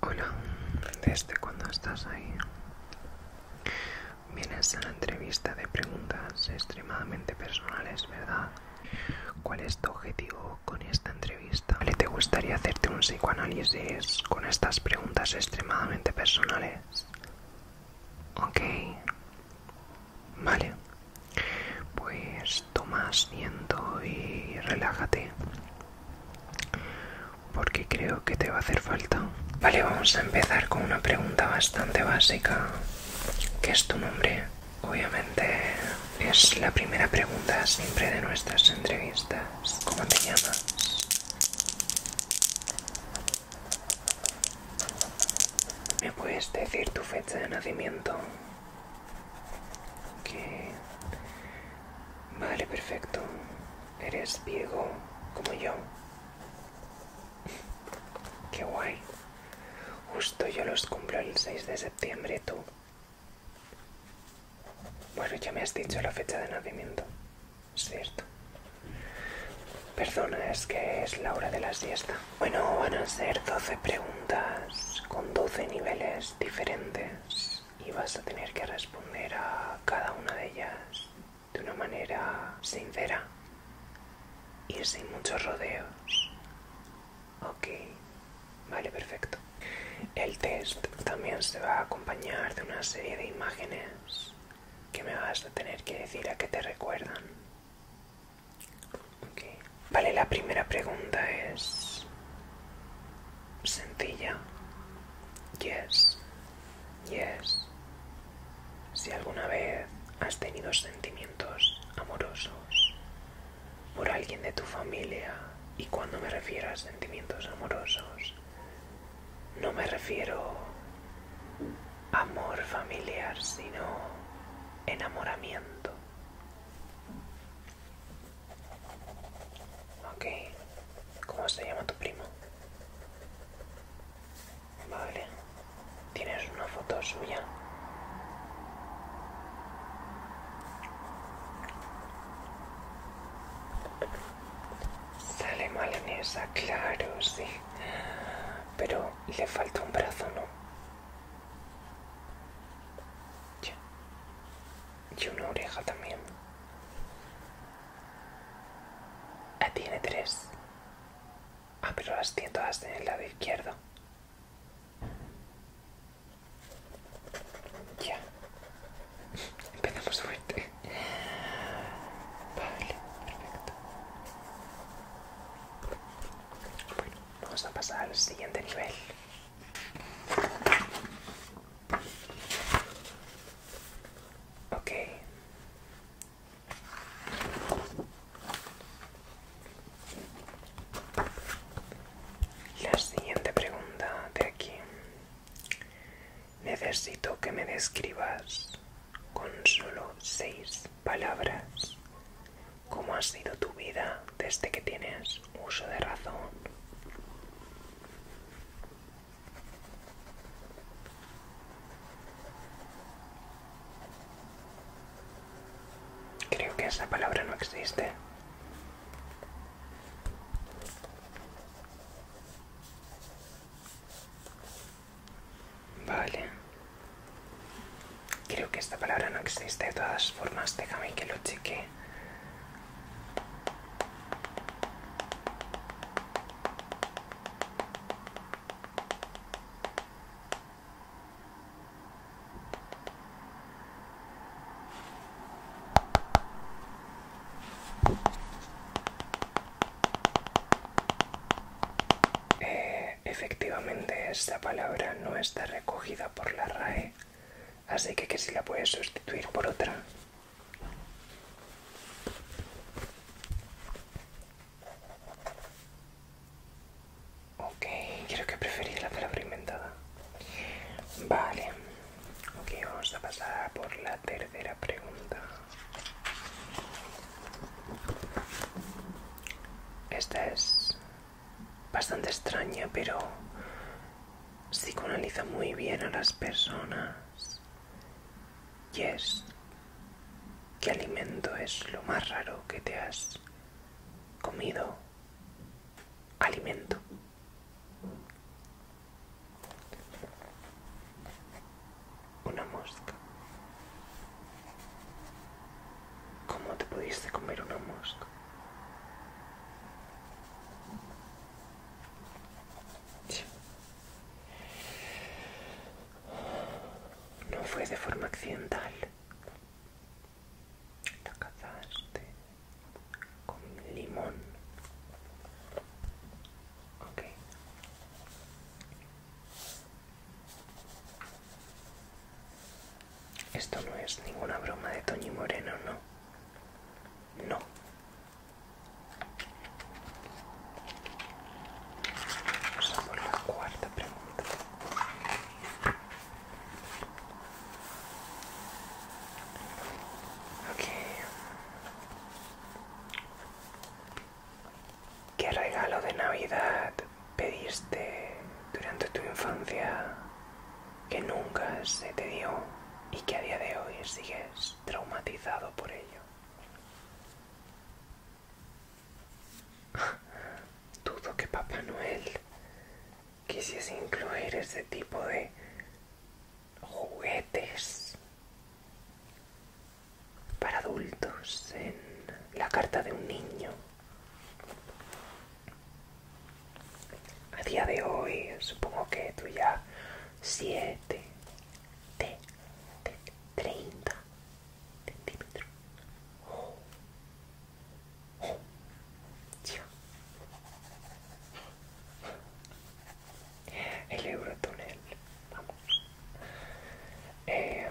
Hola, desde cuando estás ahí. Vienes a la entrevista de preguntas extremadamente personales, ¿verdad? ¿Cuál es tu objetivo con esta entrevista? te gustaría hacerte un psicoanálisis con estas preguntas extremadamente personales? Ok. Vale. Pues toma asiento y relájate. Porque creo que te va a hacer falta. Vale, vamos a empezar con una pregunta bastante básica. ¿Qué es tu nombre? Obviamente es la primera pregunta siempre de nuestras entrevistas. ¿Cómo te llamas? ¿Me puedes decir tu fecha de nacimiento? Que... Vale, perfecto. Eres viejo como yo. Qué guay. Justo yo los cumplo el 6 de septiembre, tú. Bueno, ya me has dicho la fecha de nacimiento. cierto. Perdona, es que es la hora de la siesta. Bueno, van a ser 12 preguntas con 12 niveles diferentes y vas a tener que responder a cada una de ellas de una manera sincera y sin muchos rodeos. Ok, vale, perfecto. El test también se va a acompañar de una serie de imágenes que me vas a tener que decir a qué te recuerdan. Okay. Vale, la primera pregunta es sencilla. Yes, yes. Si alguna vez has tenido sentimientos amorosos por alguien de tu familia y cuando me refiero a sentimientos amorosos, no me refiero a amor familiar, sino enamoramiento. Ok, ¿cómo se llama tu primo? Vale, ¿tienes una foto suya? Sale esa claro, sí. Pero le falta un brazo, ¿no? Y una oreja también. Ah, tiene tres. Ah, pero las tiene todas en el lado izquierdo. Ya. Empezamos fuerte. Vale, perfecto. Bueno, vamos a pasar al siguiente nivel. Ok. La siguiente pregunta de aquí. Necesito que me describas con solo seis palabras cómo ha sido tu vida desde que tienes uso de razón. Creo que esa palabra no existe. Vale. Creo que esta palabra no existe de todas formas. Déjame que lo cheque. Eh, efectivamente, esta palabra no está recogida por la RAE, así que que si la puedes sustituir por otra. Ok, creo que preferí la palabra inventada. Vale. Ok, vamos a pasar por la tercera pregunta. Esta es bastante extraña, pero psicoanaliza muy bien a las personas. Y es, ¿qué alimento es lo más raro que te has comido alimento. Una mosca. ¿Cómo te pudiste comer una mosca? No fue de forma accidental. La cazaste con limón. Ok. Esto no es ninguna broma de Toñi Moreno, ¿no? No. Vamos a la cuarta pregunta. ¿Qué regalo de Navidad pediste durante tu infancia que nunca se te dio y que a día de hoy sigues traumatizado por ello? Dudo que Papá Noel quisiese incluir ese tipo de juguetes para adultos en la carta de un niño. A día de hoy, supongo que tú ya siete, 30, el Eurotunnel, vamos. Eh, em,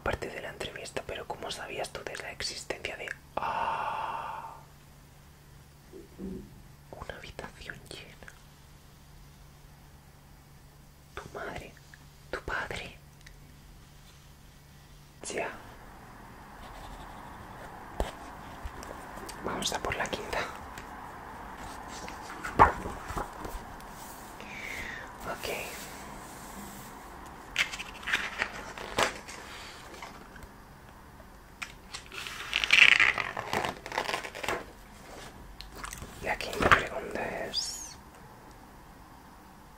parte de la entrevista, pero ¿cómo sabías tú de la existencia de... Ah, una habitación llena. Tu madre, tu padre. Ya. Vamos a por la quinta. okay la quinta pregunta es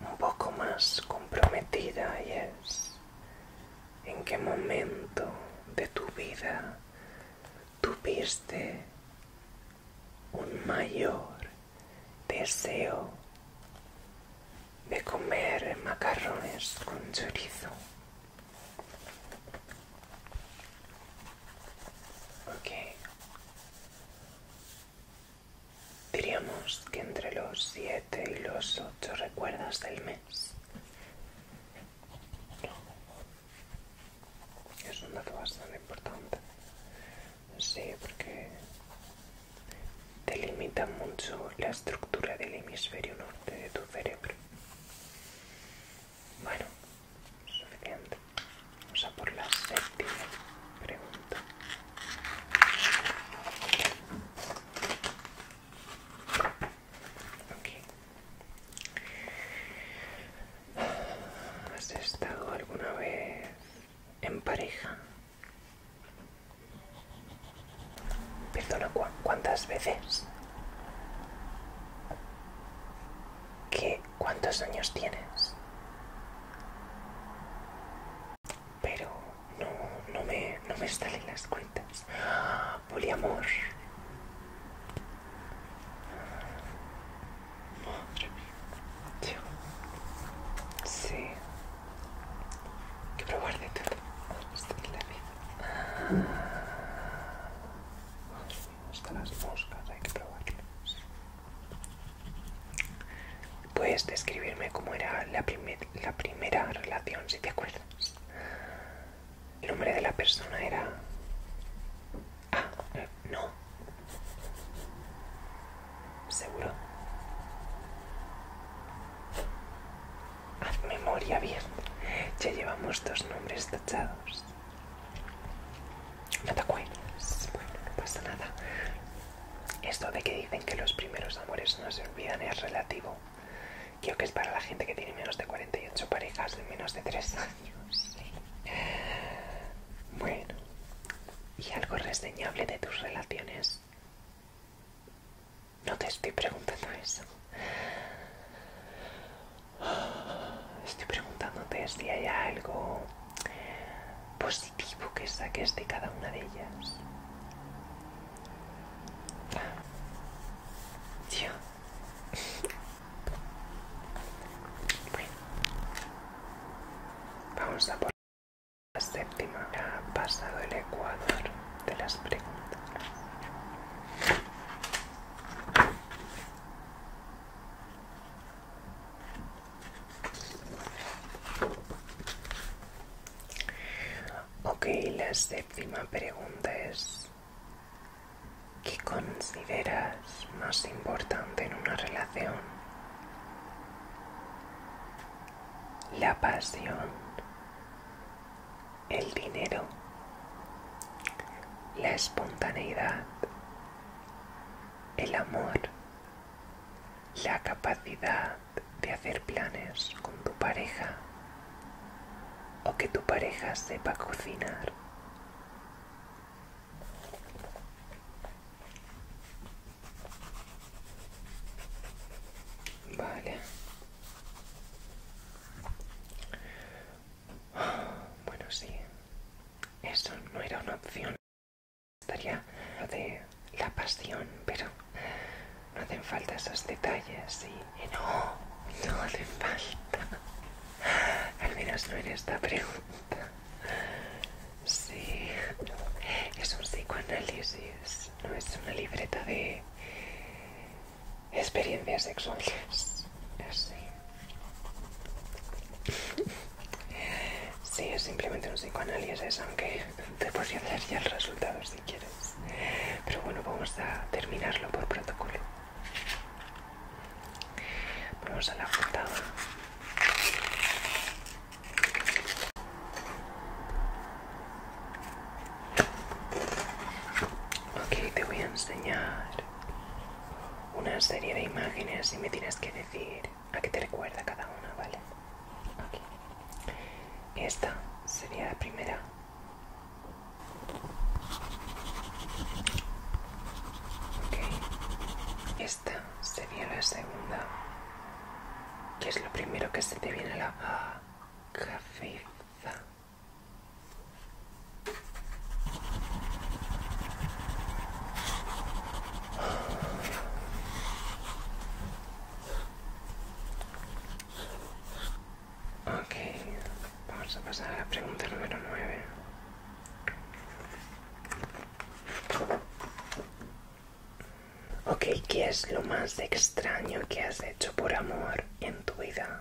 un poco más comprometida y es, ¿en qué momento de tu vida tuviste un mayor deseo de comer macarrones con chorizo? Ok. Diríamos que entre los 7 y los 8 recuerdas del mes. Es un dato bastante importante. Sí, porque delimita mucho la estructura del hemisferio norte de tu cerebro. Bueno, suficiente. Vamos a por la séptima pregunta. ¿Has estado alguna vez en pareja? Perdona, ¿cuántas veces? ¿Qué, ¿Cuántos años tienes? Pero no, no, me, salen las cuentas. Poliamor. Madre Sí. que probar de todo. vida. Hasta Puedes describirme cómo era la, la primera relación, si te acuerdas. El nombre de la persona era... Ah, eh, no. ¿Seguro? Haz memoria bien. Ya llevamos dos nombres tachados. No te acuerdas. Bueno, no pasa nada. Esto de que dicen que los primeros amores no se olvidan es relativo. Creo que es para la gente que tiene menos de 48 parejas de menos de 3 años. Bueno, ¿y algo reseñable de tus relaciones? No te estoy preguntando eso. Estoy preguntándote si hay algo positivo que saques de cada una de ellas. Bueno. Vamos a por... La séptima ha pasado el ecuador de las preguntas. Ok, la séptima pregunta es, ¿qué consideras más importante en una relación? ¿La pasión? el dinero, la espontaneidad, el amor, la capacidad de hacer planes con tu pareja o que tu pareja sepa cocinar. Vale. Bueno, sí. Eso no era una opción. Estaría de la pasión, pero no hacen falta esos detalles y, no, no hacen falta. Al menos no en esta pregunta. Sí, es un psicoanálisis no es una libreta de experiencias sexuales. Así. Sí, es simplemente un psicoanálisis, aunque te podría hacer ya el resultado si quieres. Pero bueno, vamos a terminarlo por protocolo. Vamos a la juntada. Ok, te voy a enseñar una serie de imágenes y me tienes que decir a qué te recuerda cada una, ¿vale? Esta sería la primera. Ok. Esta sería la segunda. ¿Qué es lo primero que se te viene a la Ah, Ok, vamos a pasar a la pregunta número 9. Ok, ¿qué es lo más extraño que has hecho por amor en tu vida?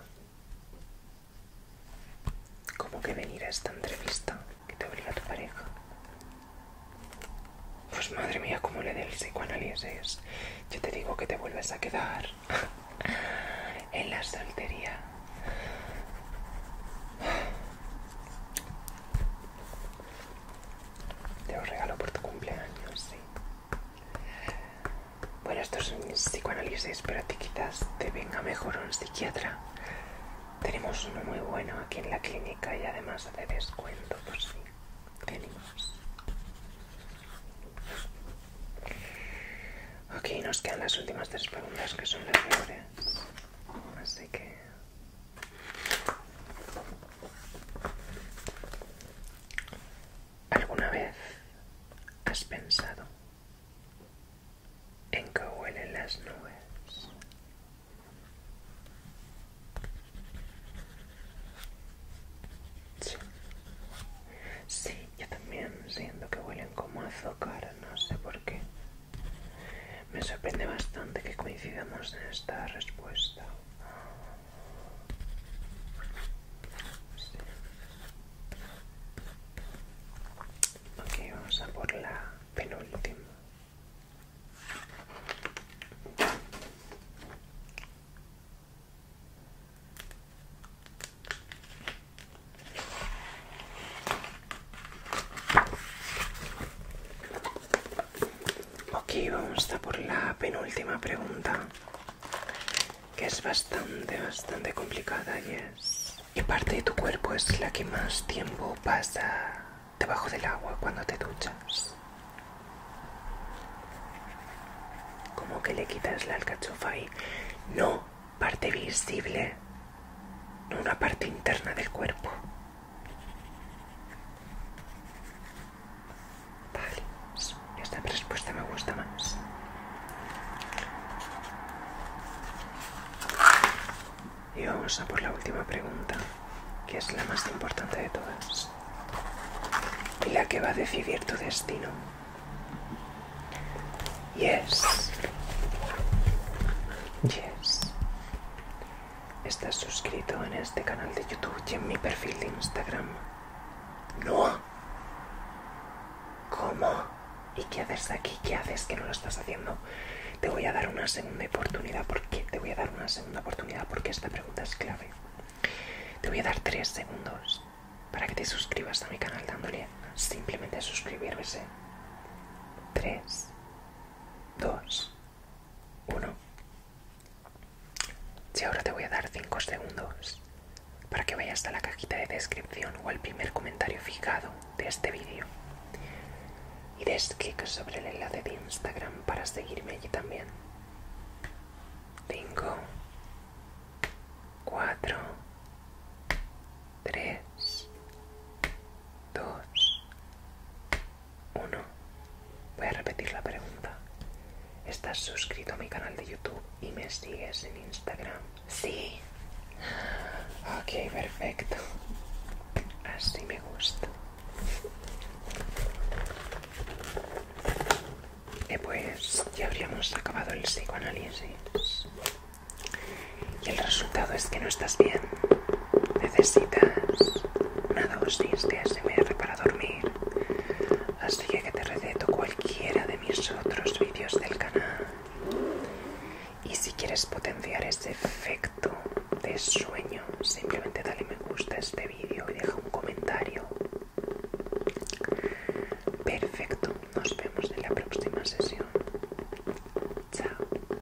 ¿Cómo que venir a esta entrevista que te obliga tu pareja? Pues madre mía, cómo le dé el psicoanálisis. Yo te digo que te vuelves a quedar en la soltería. Te lo regalo por tu cumpleaños, sí. Bueno, esto es un psicoanálisis, pero a ti quizás te venga mejor un psiquiatra. Tenemos uno muy bueno aquí en la clínica y además hace descuento por pues si Tenemos. Ok, nos quedan las últimas tres preguntas que son las peores. Así que ¿Alguna vez has pensado en que huelen las nubes? Sí. yo también siento que huelen como azúcar, no sé por qué. Me sorprende bastante que coincidamos en esta respuesta. Ok, vamos a por la penúltima. Ok, vamos a por la penúltima pregunta, que es bastante, bastante complicada y es... ¿Qué parte de tu cuerpo es la que más tiempo pasa debajo del agua cuando te duchas? Como que le quitas la alcachofa y... No, parte visible, no una parte interna del cuerpo. Vale, pues, esta respuesta me gusta más. Y vamos a por la última pregunta, que es la más importante de todas. Y la que va a decidir tu destino. Yes. Yes. ¿Estás suscrito en este canal de YouTube y en mi perfil de Instagram? No. ¿Cómo? ¿Y qué haces aquí? ¿Qué haces que no lo estás haciendo? Te voy a dar una segunda oportunidad porque te voy a dar una segunda oportunidad porque esta pregunta es clave. Te voy a dar tres segundos para que te suscribas a mi canal dándole simplemente suscribirse. Tres. Dos. 1. Si ahora te voy a dar 5 segundos para que vayas a la cajita de descripción o al primer comentario fijado de este vídeo y des clic sobre el enlace de Instagram para seguirme allí también. 5, 4, 3, 2, uno. Voy a repetir la pregunta. ¿Estás suscrito a mi canal de YouTube y me sigues en Instagram? Sí. Ok, perfecto. Así me gusta. Y eh, pues ya habríamos acabado el psicoanálisis y el resultado es que no estás bien. Necesitas una dosis de ASMR para dormir. Así que te receto cualquiera de mis otros vídeos del canal. Y si quieres potenciar ese efecto de sueño, simplemente dale me gusta a este vídeo y deja un comentario. Perfecto, nos vemos en la próxima sesión. Chao.